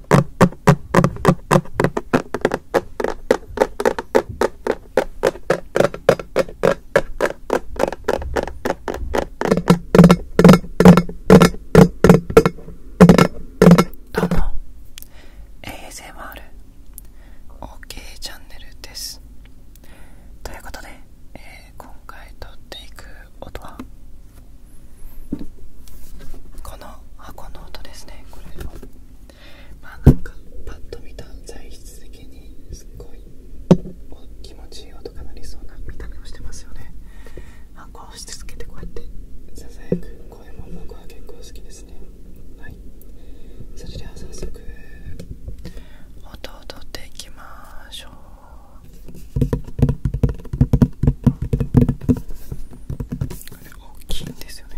どうも ASMR OK チャンネルですということで、え今回撮っていく音はこの箱の音ですねこれまあなんかパッと見た材質的にすっごい気持ちいい音が鳴りそうな見た目をしてますよねあこうしてつけてこうやってささやく声も僕は結構好きですねはいそれでは早速音を取っていきましょうこ大きいんですよね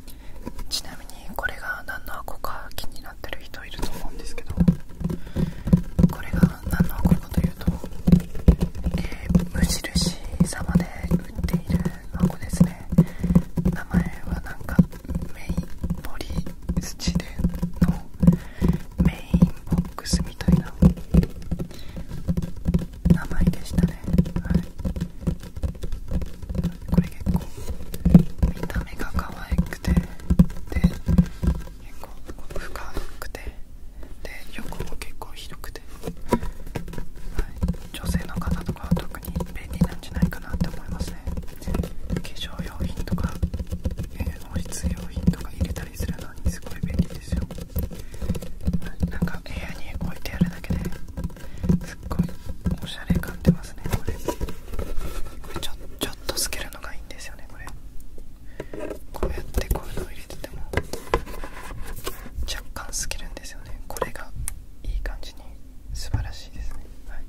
ちなみにこれが何の箱か気になってる人いると思うんですけどこれが何の箱かというと、え無印様で売っている箱ですね名前はなんかメインポリスチレンのメインボックスみたいな名前でしたねはいこれ結構見た目が可愛くてで結構深くてで横も結構広くて、はい、女性の方とかは特に便利なんじゃないかなって思いますね化粧用品とか保湿用品とか入れたりするのにすごい便利ですよなんか部屋に置いてあるだけですっごいおしゃれ感出ますねこれこれちょちょっと透けるのがいいんですよねこれこうやってこういうのを入れてても若干透けるんですよねこれがいい感じに素晴らしいですねはい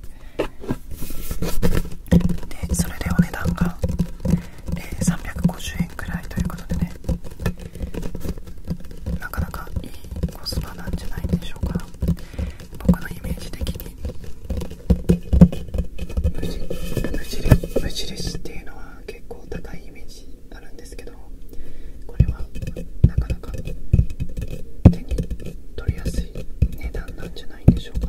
でそれでお値段が、え350円くらいということでねなかなかいいコスパなんじゃないでしょうか僕のイメージ的に無事無す。っていうのは結構高いイメージあるんですけどこれはなかなか手に取りやすい値段なんじゃないんでしょうか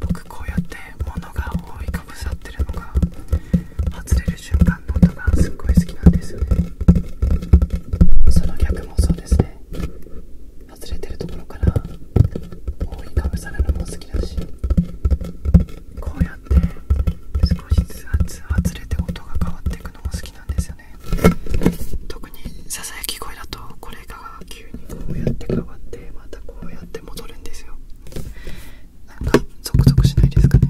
僕こうやって物が覆いかぶさってるのが外れる瞬間の音がすっごい好きなんですよねその逆もそうですね外れてるところから覆いかぶさるのも好きだしこうやって少しずつ外れて音が変わっていくのも好きなんですよよね特にささやき声だとこれが急にこうやって変わってまたこうやって戻るんですよなんかゾクゾクしないですかね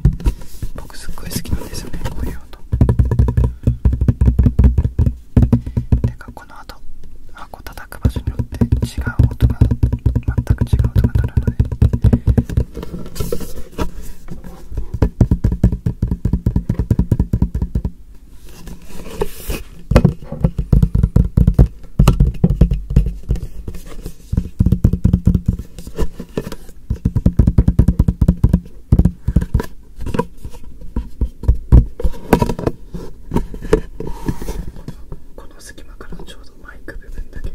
僕すっごい好きなんですよねこういう音てかこの後箱叩く場所によって違う音が全く違う音が鳴るのでこの隙間からちょうどマイク部分だけが。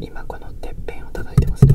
今このてっぺんを叩いてますね。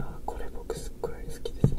あこれ僕すっごい好きですね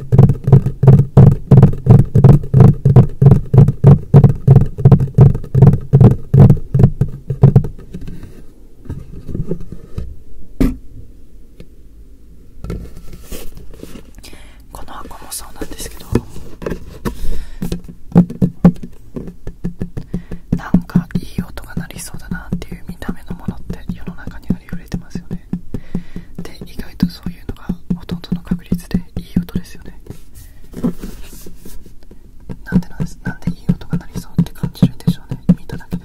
この箱もそうなんですけどなんかいい音が鳴りそうだなっていう見た目のものって世の中にありふれてますよねで意外とそういうのがほとんどの確率でいい音ですよねなんでなんですなんでいい音が鳴りそうって感じるんでしょうね見ただけで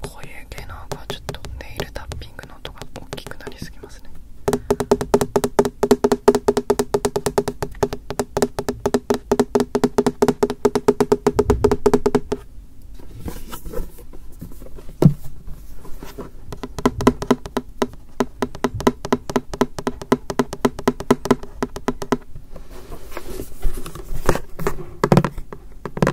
こういう系の音はちょっとネイルタッピングの音が大きくなりすぎますね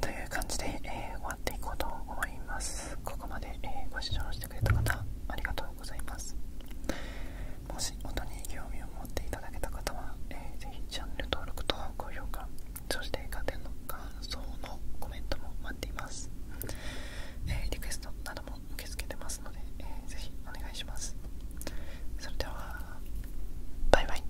という感じで、え終わっていこうと思いますここまで、えご視聴してくれた方ありがとうございますもし音に興味を持っていただけた方は、えー、ぜチャンネル登録と高評価そして家電の感想のコメントも待っています、えリクエストなども受け付けてますので、えー、ぜお願いしますそれではバイバイ